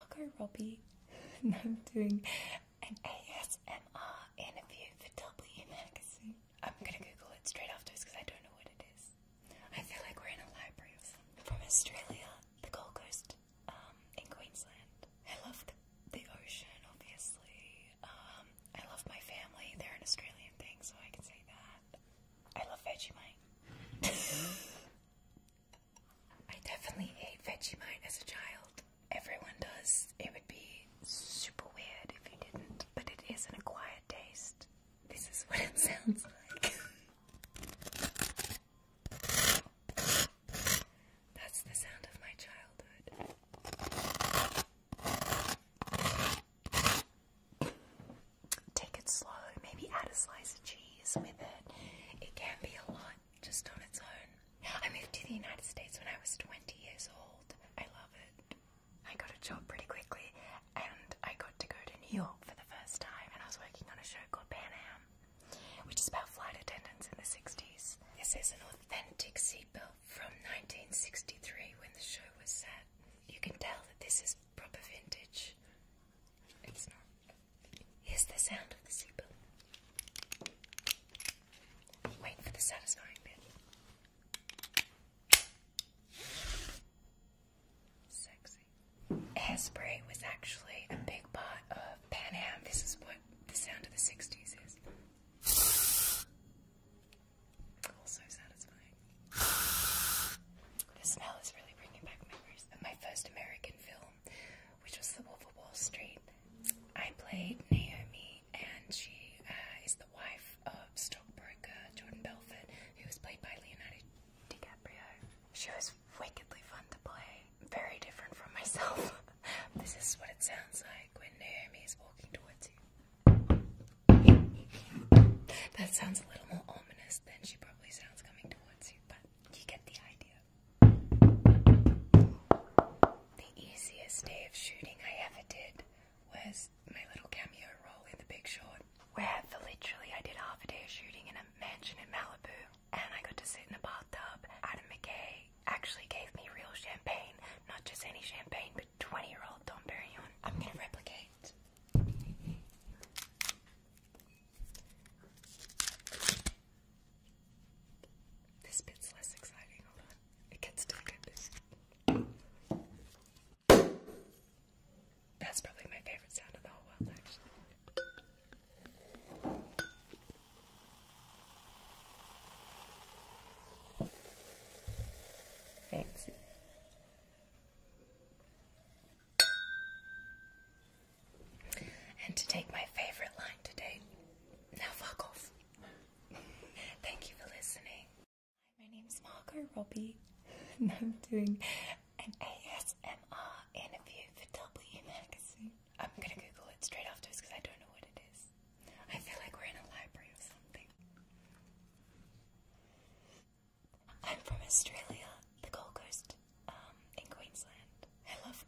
Margot Robbie, I'm doing an ASMR interview for W Magazine. I'm gonna Google it straight afterwards because I don't know what it is. I feel like we're in a library From Australia, the Gold Coast, um, in Queensland. I love the, the ocean, obviously. Um, I love my family. They're an Australian thing, so I can say that. I love Vegemite. I definitely ate Vegemite as a child. Everyone does. It would be super weird if you didn't, but it is an acquired taste. This is what it sounds like. That's the sound of my childhood. Take it slow, maybe add a slice of cheese with it. It can be a lot just on its own. I moved to the United States when I was 20 years old. I love it. I got a job pretty quickly and I got to go to New York for the first time and I was working on a show called Pan Am, which is about flight attendants in the 60s. This is an authentic seatbelt from 1963 when the show was set. You can tell that this is proper vintage. It's not. Here's the sound of the zipper. Wait for the satisfying bit. Sexy. Hairspray was actually a big part of Pan Am. This is what the sound of the 60s is. Also satisfying. The smell is really bringing back memories my first American film which was The Wolf of Wall Street. I played Naomi, and she uh, is the wife of stockbroker Jordan Belfort, who was played by Leonardo DiCaprio. She was wickedly fun to play, very different from myself. this is what it sounds like when Naomi is walking towards you. That sounds a little more ominous than she probably sounds coming towards you, but you get the idea. The easiest day of shooting I ever did was my little cameo role in The Big Short, where for literally I did half a day of shooting in a mansion in Malibu, and I got to sit in a bathtub. Adam McKay actually gave me real champagne, not just any champagne, but 20 year old Dom Perignon. I'm gonna replicate. This bit's less exciting. Hold on. It gets to the good That's probably my favorite sound of the whole world, actually. Thanks and to take my favorite line today. Now fuck off. Thank you for listening. Hi, my is Margot Robbie, and I'm doing an ASMR interview for W Magazine. I'm gonna Google it straight afterwards because I don't know what it is. I feel like we're in a library or something. I'm from Australia, the Gold Coast. Um, in Queensland. I love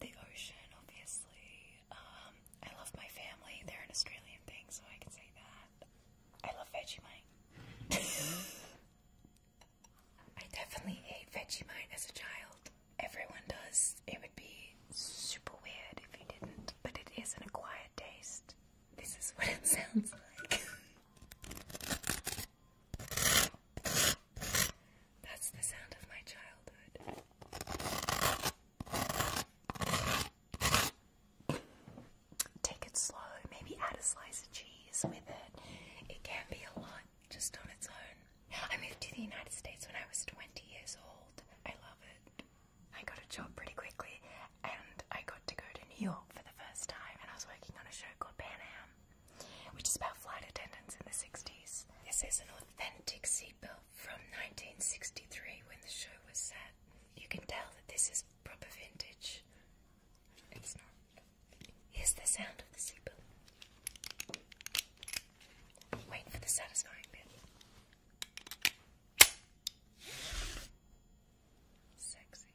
the, ocean, obviously. Um, I love my family. They're an Australian thing, so I can say that. I love Vegemite. I definitely ate Vegemite as a child. Everyone does. It would be super weird if you didn't, but it is an acquired taste. This is what it sounds like. That's the sound of my childhood. Take it slow, maybe add a slice of cheese with it. It can be a lot just on its own. I moved to the United States when I was 20 years old. I love it. I got a job pretty quickly and I got to go to New York for the first time and I was working on a show called Pan Am which is about flight attendants in the 60s. This is an authentic seatbelt from 1963 when the show was set. You can tell that this is proper vintage. It's not. Here's the sound of the seatbelt. Wait for the satisfying bit. Sexy.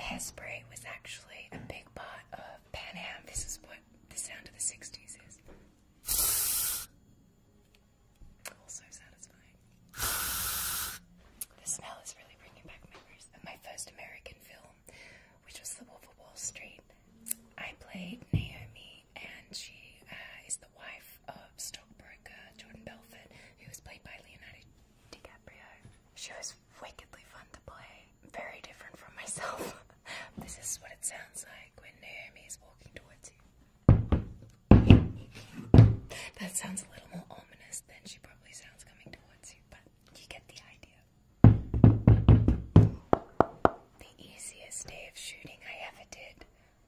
Hairspray was actually a big part of Pan Am. This is what the sound of the 60s is. Also satisfying. The smell is really bringing back memories of my first American film, which was The Wolf of Wall Street. I played Naomi, and she uh, is the wife of stockbroker Jordan Belfort, who was played by Leonardo DiCaprio. She was wickedly fun to play. Very different from myself. this is what it sounds like when Naomi is walking towards you. That sounds a little more ominous than she probably sounds coming towards you, but you get the idea. The easiest day of shooting I ever did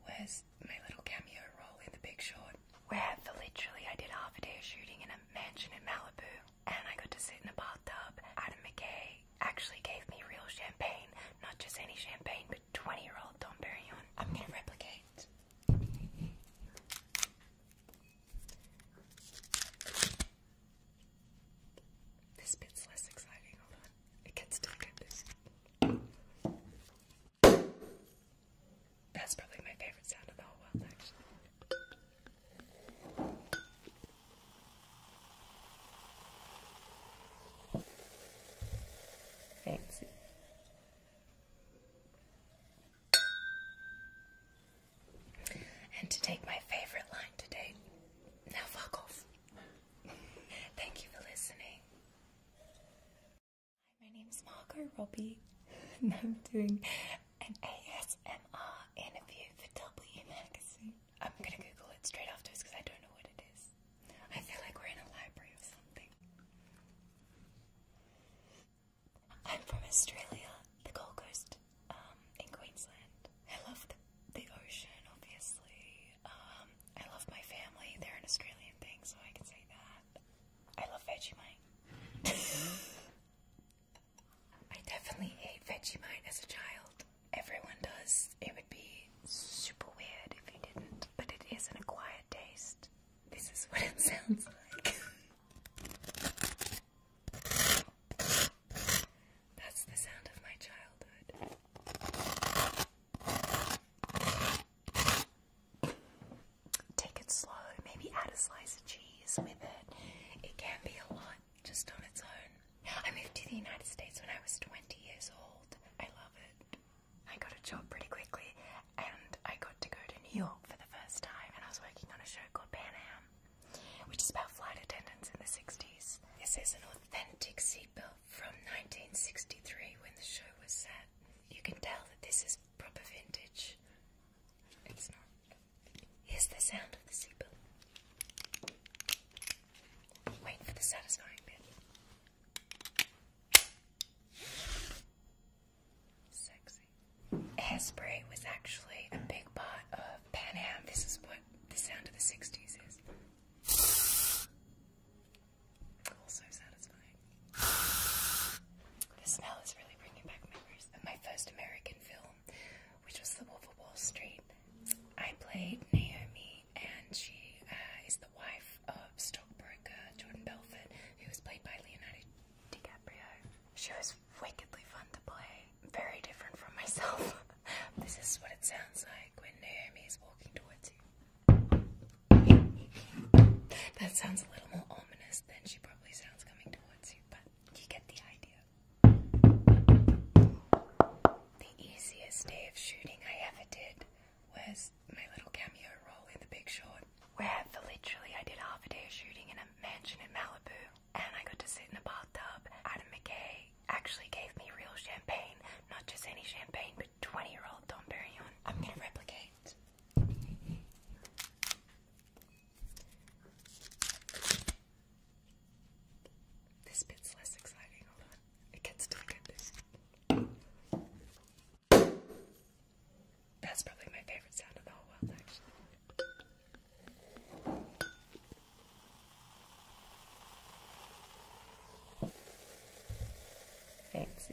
was my little cameo role in The Big Short, where for literally I did half a day of shooting in a mansion in Malibu and I got to sit in a bathtub. Adam McKay actually gave me real champagne, not just any champagne, but 20 year old Dom Perignon. I'm gonna replicate. This bit's less exciting, hold on. It gets still get That's probably my favorite sound of the whole world, actually. Fancy. And to take my favorite line today, now fuck off. Thank you for listening. Hi, my name's Margot Robbie, and I'm doing an ASMR interview for W Magazine. I'm gonna Google it straight afterwards because I don't know what it is. I feel like we're in a library or something. I'm from Australia, the Gold Coast, um, in Queensland. I love the, the ocean, obviously. Um, I love my family. They're an Australian thing, so I can say that. I love Vegemite. I definitely ate Vegemite as a child. Everyone does. It would be super weird if you didn't, but it is isn't a quiet taste. This is what it sounds like. That's the sound of my childhood. Take it slow, maybe add a slice of cheese with it. It can be a lot just on its own. I moved to the United States when I was 20 years old. I love it. I got a job pretty quickly and I got to go to New York for the first time and I was working on a show called Pan Am, which is about flight attendants in the 60s. This is an authentic seatbelt from 1963 when the show was set. You can tell that this is proper vintage. It's not Here's the sound of the sea bell. for the satisfying bit. Sexy. Hairspray was actually a big part of Pan Am. This is what the sound of the 60s is. Also satisfying. The smell is really bringing back memories of my first American film which was The Wolf of Wall Street. I played Naomi, and she uh, is the wife of stockbroker Jordan Belfort, who was played by Leonardo DiCaprio. She was wickedly fun to play, very different from myself. this is what it sounds like when Naomi is walking towards you. that sounds a little more ominous than she probably sounds coming towards you, but you get the idea. The easiest day of shooting I ever did was my little cameo role in The Big Short, where for literally I did half a day of shooting in a mansion in Malibu, and I got to sit in a bathtub. Adam McKay actually gave me real champagne, not just any champagne, but 20 year old Dom Perignon. I'm gonna replicate. This bit's less exciting. Hold on. It gets to That's probably my favorite sound of the whole world, actually. Thanks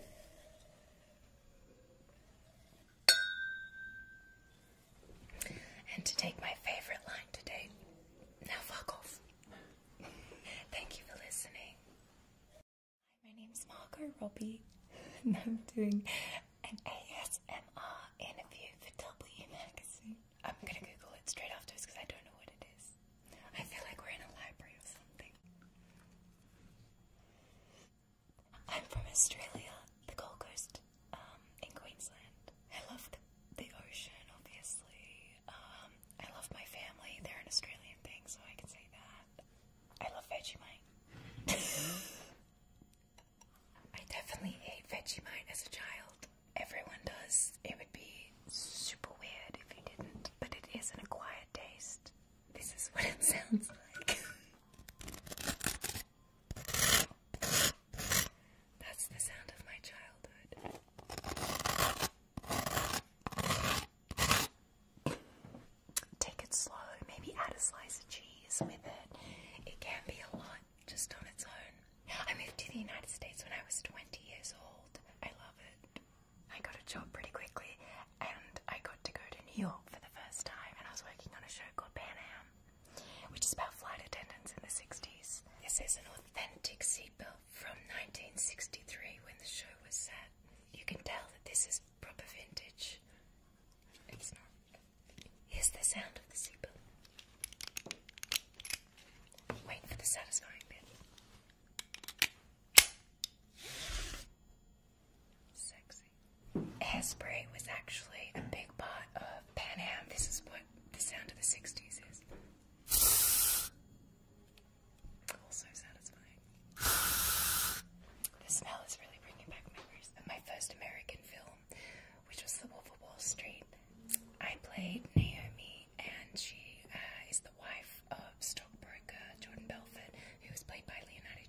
and to take my favorite line today. Now fuck off. Thank you for listening. Hi, my name's Margot Robbie, and I'm doing an ASMR interview for W Magazine. I'm gonna Google it straight after afterwards because I don't know what it is. I feel like we're in a library or something. I'm from Australia, the Gold Coast. Um, in Queensland. I love the, ocean, obviously. Um, I love my family. They're an Australian thing, so I can say that. I love Vegemite. I definitely ate Vegemite as a child. Everyone does. It would be super weird if you didn't, but it is an acquired taste. This is what it sounds like. That's the sound of my childhood. Take it slow, maybe add a slice of cheese with it. It can be a lot just on its own. I moved to the United States when I was 20 years old. I love it. I got a job pretty quickly and I got to go to New York for the first time and I was working on a show called Pan Am which is about flight attendants in the 60s. This is an authentic seatbelt from 1963 when the show was set. You can tell that this is proper vintage. It's not. Here's the sound of the seatbelt. Wait for the satisfying bit. Sexy. Hairspray was actually a big part of Pan Am. This is what the sound of the 60s is. Also satisfying. The smell is really bringing back memories of my first American film, which was The Wolf of Wall Street. I played Naomi, and she uh, is the wife of stockbroker Jordan Belfort, who was played by Leonardo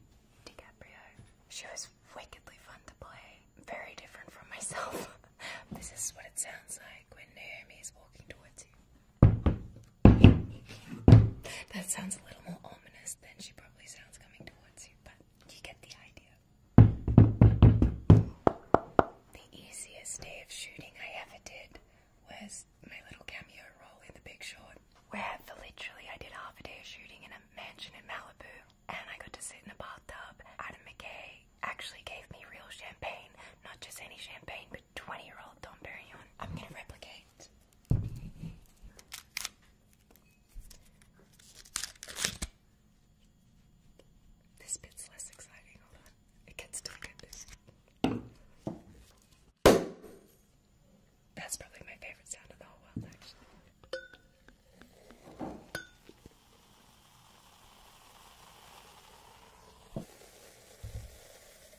DiCaprio. She was is wickedly fun to play. Very different from myself. this is what it sounds like when Naomi is walking towards you. that sounds a little more ominous than she probably sounds coming towards you, but you get the idea. The easiest day of shooting I ever did was my little cameo role in The Big Short, where for literally I did half a day of shooting in a mansion in Malibu and I got to sit in a bathtub. Adam McKay actually gave me real champagne, not just any champagne, but 20 year old Dom Perignon. I'm gonna replicate. This bit's less exciting, hold It gets still good. That's probably my favorite sound of the whole world, actually.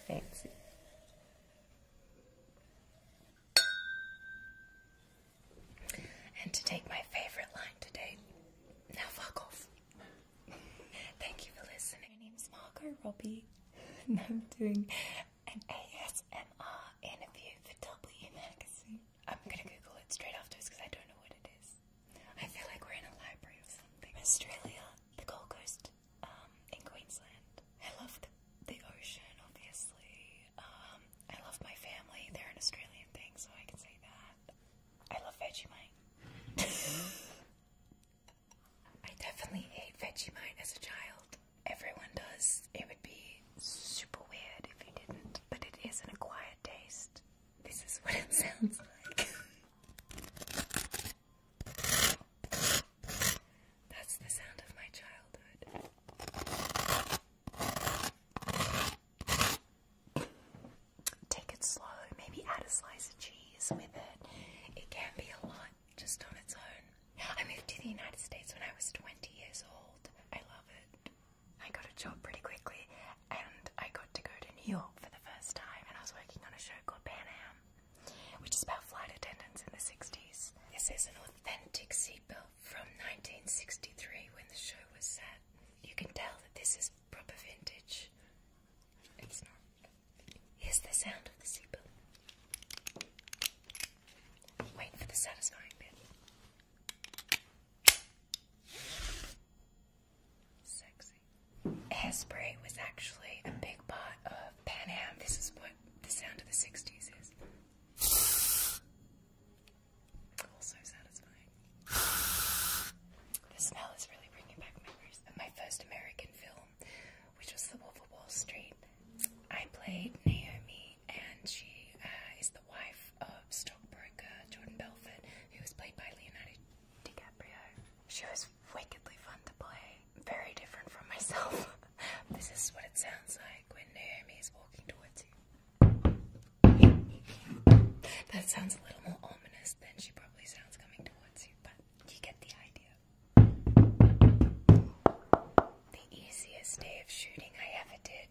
Fancy. And to take my favorite line today. Now fuck off. Thank you for listening. My name's Margot Robbie, and I'm doing an ASMR interview for W Magazine. I'm gonna Google it straight after afterwards because I don't know what it is. I feel like we're in a library or something. Australia, the Gold Coast, um, in Queensland. I love the, the ocean, obviously. Um, I love my family. They're an Australian thing, so I can say that. I love Vegemite. I definitely ate Vegemite as a child. Everyone does. It would be super weird if you didn't, but it is an acquired taste. This is what it sounds like. That's the sound of my childhood. Take it slow, maybe add a slice of cheese with it. It can be a lot just on its own. I moved to the United States when I was 20 years old. I love it. I got a job pretty quickly and I got to go to New York for the first time and I was working on a show called Pan Am, which is about flight attendants in the 60s. This is an authentic seatbelt from 1963 when the show was set. You can tell that this is proper vintage. It's not. Here's the sound of the seatbelt. Wait for the satisfying bit. Sexy. Hairspray was actually a big part of Pan Am. This is what the sound of the 60s is. Also satisfying. The smell is really bringing back memories of my first American film, which was The Wolf of Wall Street. I played Naomi, and she uh, is the wife of stockbroker Jordan Belfort, who was played by Leonardo DiCaprio. She was wickedly fun to play, very different from myself. this is what it sounds like when Naomi is walking towards you. That sounds a little more ominous than she probably sounds coming towards you, but you get the idea. The easiest day of shooting I ever did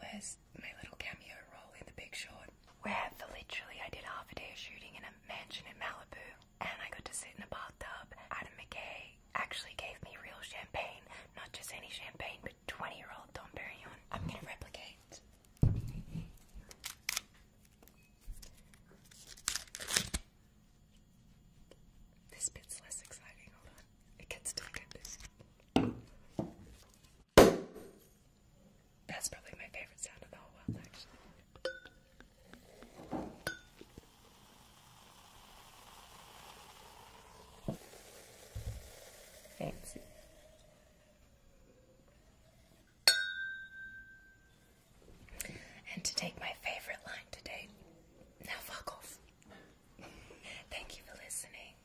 was my little cameo role in The Big Short, where for literally I did half a day of shooting in a mansion in Malibu, and I got to sit in a bathtub. Adam McKay actually gave me real champagne, not just any champagne, but 20 year old Dom Perignon. I'm gonna replicate. This bit's less exciting, hold on. It gets too good. That's probably my favorite sound of the whole world, actually. Fancy. And to take my favorite line today, now fuck off. Thank you for listening.